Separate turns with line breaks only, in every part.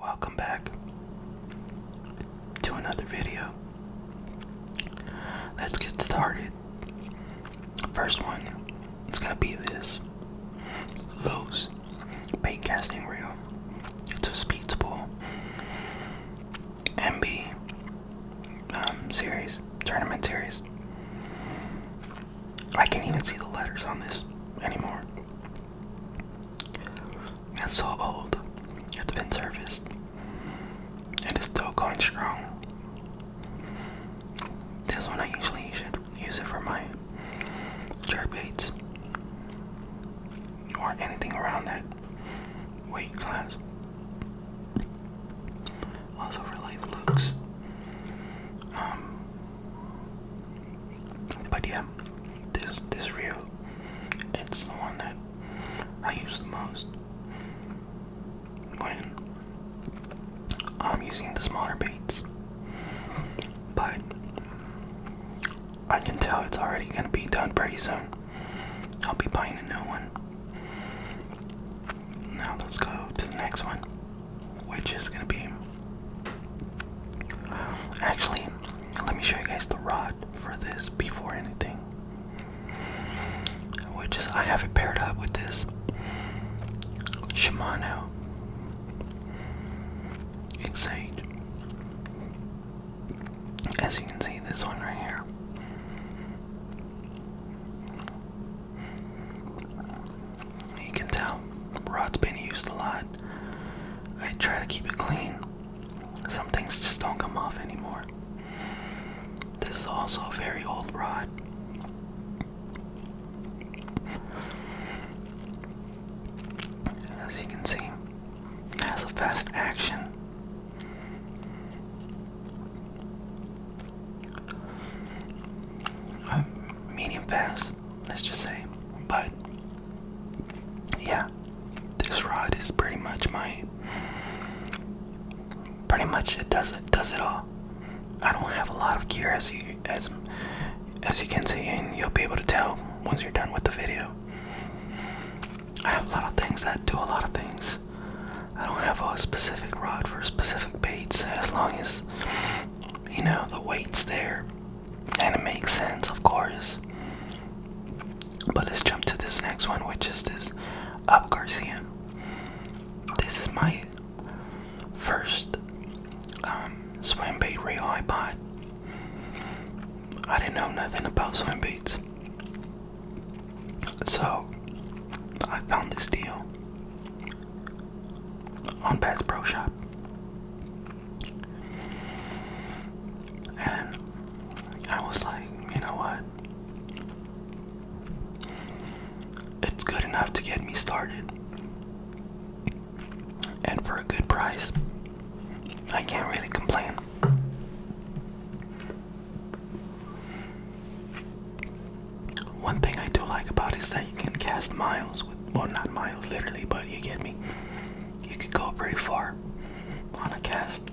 Welcome back to another video. Let's get started. First one, it's gonna be this Lowe's bait casting reel. It's a speed spool MB um, series, tournament series. I can't even see the letters on this anymore. It's so old. It's been serviced and it's still going strong. This one I usually should use it for my jerk baits or anything around that weight class. Also for like looks. Um, but yeah, this this reel, it's the one that I use the most when I'm using the smaller baits. But I can tell it's already gonna be done pretty soon. I'll be buying a new one. Now let's go to the next one which is gonna be actually let me show you guys the rod for this before anything which is I have it paired up with this Shimano Excite as you can see this one right here you can tell rod's been used a lot. I try to keep it clean. Some things just don't come off anymore. This is also a very old rod. As you can see, has a fast action. Uh, medium fast let's just say. But yeah, this rod is pretty much my pretty much it does it does it all. I don't have a lot of gear as you as as you can see and you'll be able to tell once you're done with the video. I have a lot of things that do a lot of things. I don't have a specific rod for specific baits as long as you know the weight's there and it makes sense, of course. But let's jump to this next one, which is this Up Garcia. This is my first um, swim bait reel I bought. I didn't know nothing about swim baits. So I found this deal on Best Pro Shop. And I was like, you know what? It's good enough to get me started. And for a good price, I can't really complain. One thing I do like about it is that you can cast miles with well not miles literally but you get me you could go pretty far on a cast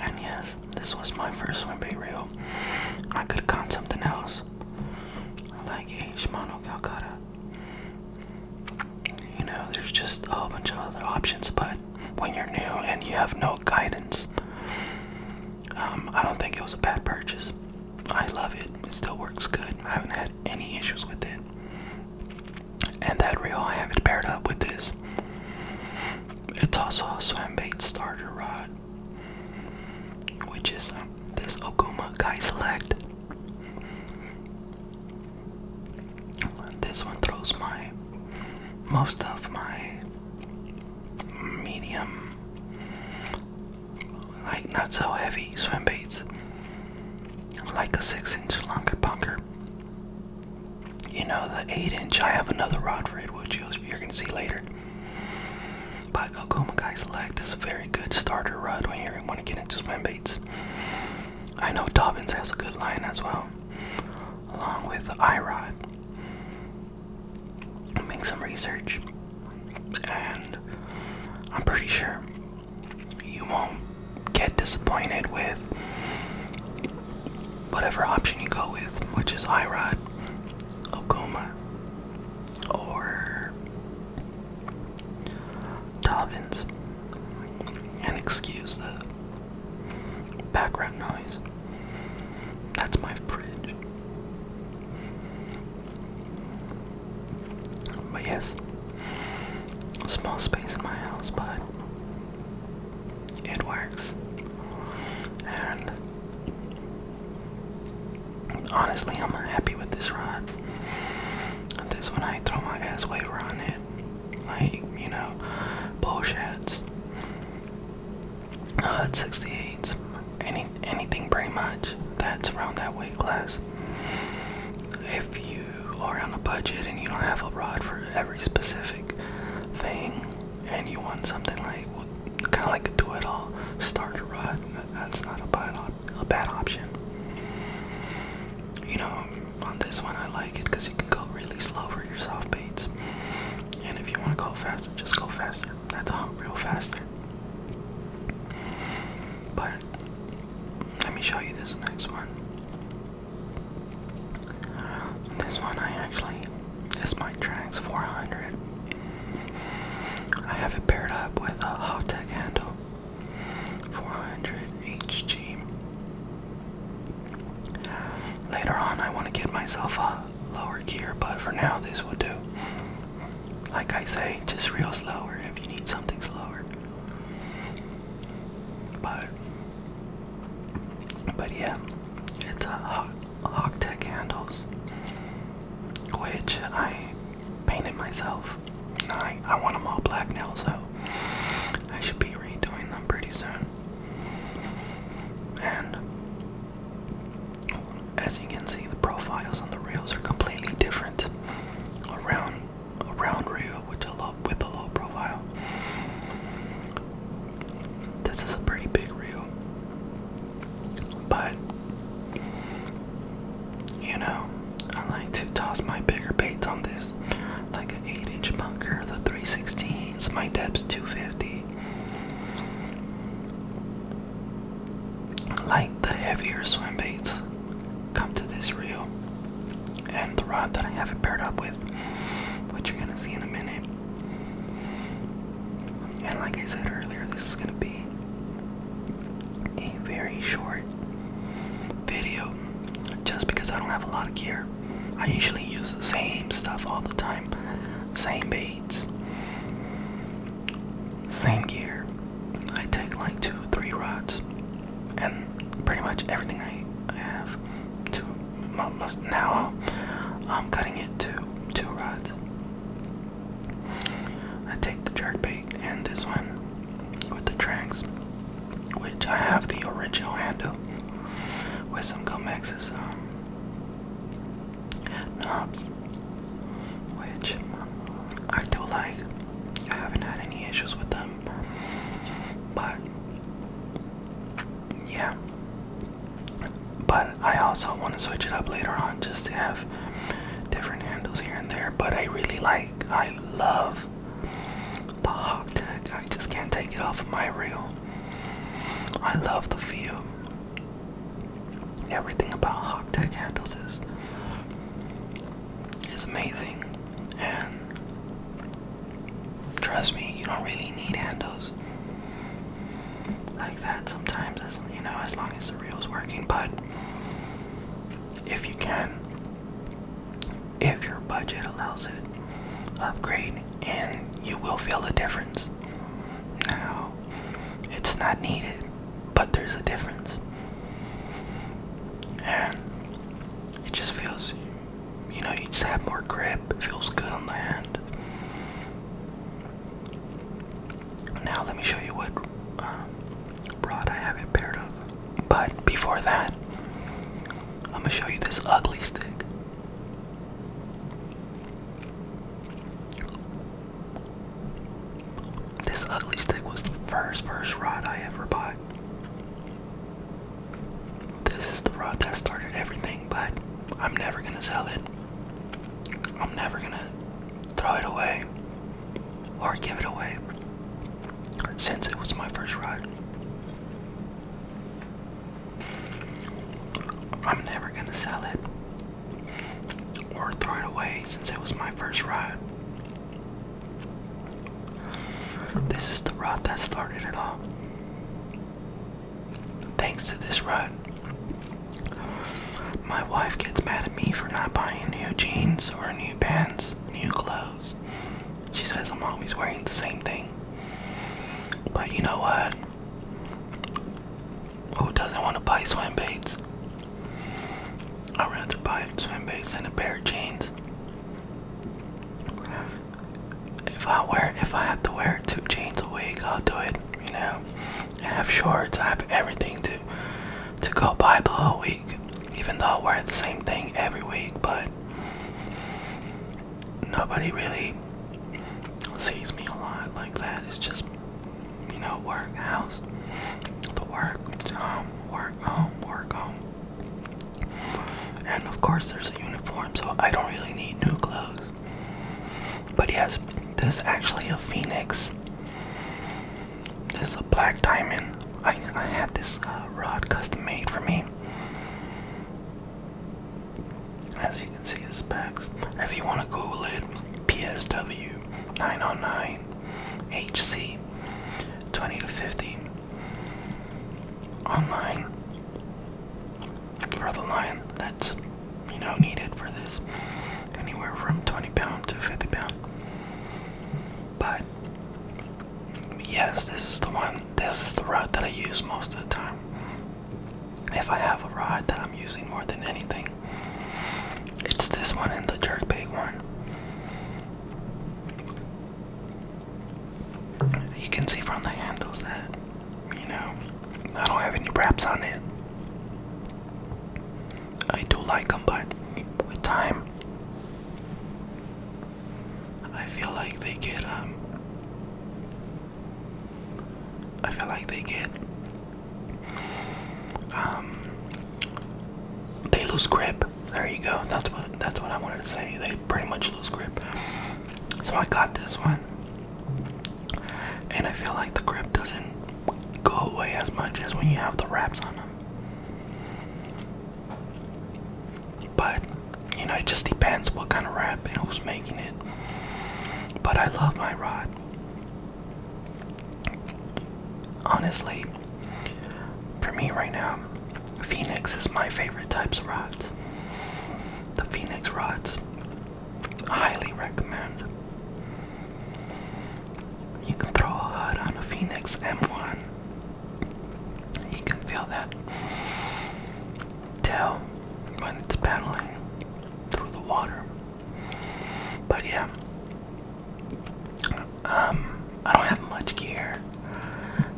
and yes this was my first swim bait reel i could have gone something else like a shimano calcutta you know there's just a whole bunch of other options but when you're new and you have no guidance um, i don't think it was a bad purchase I love it. It still works good. I haven't had any issues with it. And that reel I have not paired up with this. It's also a swim bait starter rod, which is um, this Okuma Kai Select. This one throws my most of my medium like not so heavy swim baits, like a six inch longer bunker. You know, the eight inch, I have another rod for it, which you're going to see later. But Okuma Guy Select is a very good starter rod when you want to get into swim baits. I know Dobbins has a good line as well, along with the I Rod make some research, and I'm pretty sure you won't get disappointed with whatever option you go with, which is IROD, Okuma, or Dobbins. And excuse the background noise. That's my bridge. But yes, small space in my house, but it works. And honestly, I'm happy with this rod. This one, I throw my ass waiver on it. Like, you know, bullshits uh, 68s, any anything pretty much that's around that weight class. If you are on a budget and you don't have a rod for every specific thing, and you want something like kind of like a do-it-all starter rod, that's not a bad a bad option. You know, on this one I like it because you can go really slow for your soft baits, and if you want to go faster, just go faster. That's a hot real fast. But let me show you this next one. This one I actually this my Trax 400. I have it paired up with a Hotech handle 400 HG. Later on, I want to get myself a lower gear, but for now, this will do. Like I say, just real slower if you need something slower. But but yeah, it's a uh, Hawk, Hawk Tech handles, which I painted myself. I I want them all black nails, so I should be redoing them pretty soon. And as you can see, the profiles on the reels are completely different. A round, a round reel with a low, with a low profile. This is a pretty big reel, but you know, I like to toss my bigger baits on this, like an eight-inch bunker, the 316s, my depth's 250 like the heavier swim baits come to this reel and the rod that I have it paired up with which you're gonna see in a minute and like I said earlier this is gonna be a very short video just because I don't have a lot of gear I usually use the same stuff all the time same baits same gear. I take like two, three rods, and pretty much everything I, have. Two. Most, now I'm cutting it to two rods. I take the jerk bait and this one with the tracks, which I have the original handle with some Gomex's um, knobs, which I do like. I haven't had any issues with them, but yeah. But I also want to switch it up later on just to have different handles here and there. But I really like, I love the hog tag. I just can't take it off of my reel. I love the feel everything about high-tech handles is is amazing and trust me you don't really need handles like that sometimes as you know as long as the reel is working but if you can if your budget allows it upgrade and you will feel the difference now, it's not needed, but there's a difference. And it just feels, you know, you just have more grip, it feels good on the hand. Now, let me show you what um, rod I have it paired up. But before that, I'm gonna show you this ugly stick. This ugly stick was the first first rod I ever bought. This is the rod that started everything, but I'm never gonna sell it. I'm never gonna throw it away or give it away since it was my first rod. I'm never gonna sell it or throw it away since it was my first ride. This is the ride that started it all. Thanks to this ride, my wife gets mad at me for not buying new jeans or new pants, new clothes. She says I'm always wearing the same thing. But you know what? Who doesn't want to buy swim baits? I'd rather buy swim baits than a pair of jeans. If I wear, if I have to wear two jeans a week, I'll do it. You know, I have shorts. I have everything to to go buy the whole week. Even though I wear the same thing every week, but nobody really sees me a lot like that. It's just you know, work, house, the work, home, work, home, work, home. And of course, there's a uniform, so I don't really need new clothes. But yes, this is actually a phoenix. This is a black diamond. I, I had this uh, rod custom made for me. As you can see the specs. If you want to Google it, PSW 909 HC 20 to 50 online for the line that's you know needed for this anywhere from 20 pound to 50 pound but yes this is the one this is the rod that I use most of the time if I have a rod that I'm using more than anything, it's this one and the jerk bait one. You can see from the handles that, you know, I don't have any wraps on it. I do like them, but with time, I feel like they get um, I feel like they get um, they lose grip. There you go. That's what that's what I wanted to say. They pretty much lose grip. So I got this one. And I feel like the grip doesn't go away as much as when you have the wraps on them. But you know, it just depends what kind of wrap and who's making it. But I love my rod. Honestly, for me right now, Phoenix is my favorite types of rods. The Phoenix rods, highly recommend. You can throw a HUD on a Phoenix M1. You can feel that tail when it's paddling through the water. But yeah, um, I don't have much gear.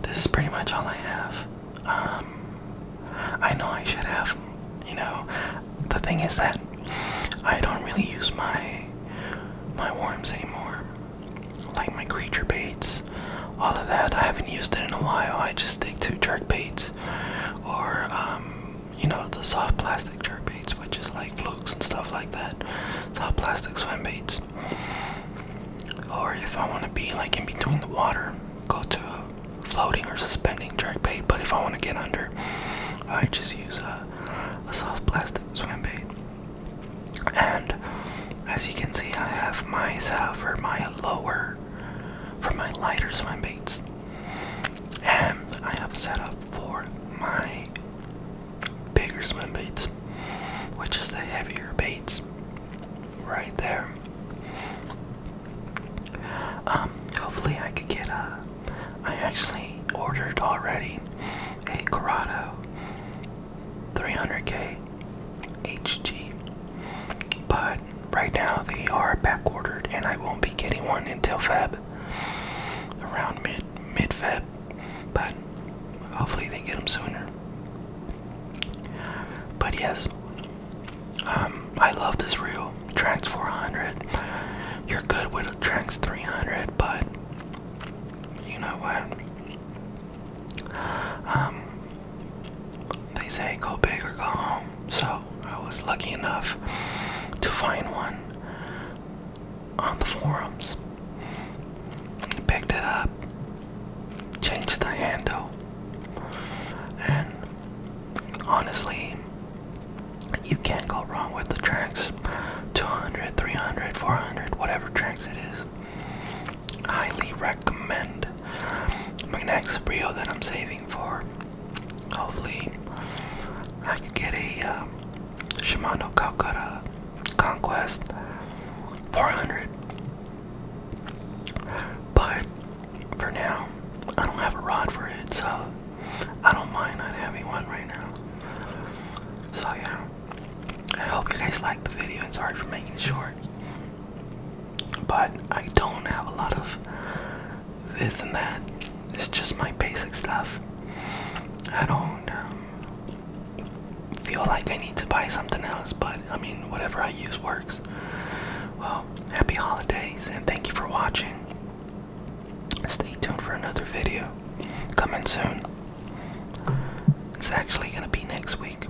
This is pretty much all I have. Um, I know I should have, you know. The thing is that I don't really use my my worms anymore, like my creature baits. All of that I haven't used it in a while. I just stick to jerk baits or um, you know, the soft plastic jerk baits, which is like flukes and stuff like that. Soft plastic swim baits. Or if I want to be like in between the water, go to a floating or suspending jerk bait. But if I want to get under, I just use a, a soft plastic swim bait. And as you can see, I have my setup for my lower, for my lighter swim baits and I have set up for my bigger swim baits, which is the heavier baits right there. Um, hopefully I could get a, I actually ordered already a Corrado 300K HG by right now they are back ordered and I won't be getting one until Feb around mid mid Feb but hopefully they get them sooner but yes um, I love this reel Trax 400 you're good with a Trax 300 but you know what um they say go big or go home. So I was lucky enough to find one on the forums. Picked it up, changed the handle, and honestly, you can't go wrong with the tracks 200, 300, 400, whatever tracks it is. Highly recommend my next reel that I'm saving for Hopefully, I can get a um, Shimano Calcutta Conquest 400. But for now, I don't have a rod for it, so I don't mind not having one right now. So yeah, I hope you guys liked the video. And sorry for making short, but I don't have a lot of this and that. It's just my basic stuff. I don't um, feel like I need to buy something else, but I mean, whatever I use works. Well, happy holidays and thank you for watching. Stay tuned for another video coming soon. It's actually going to be next week.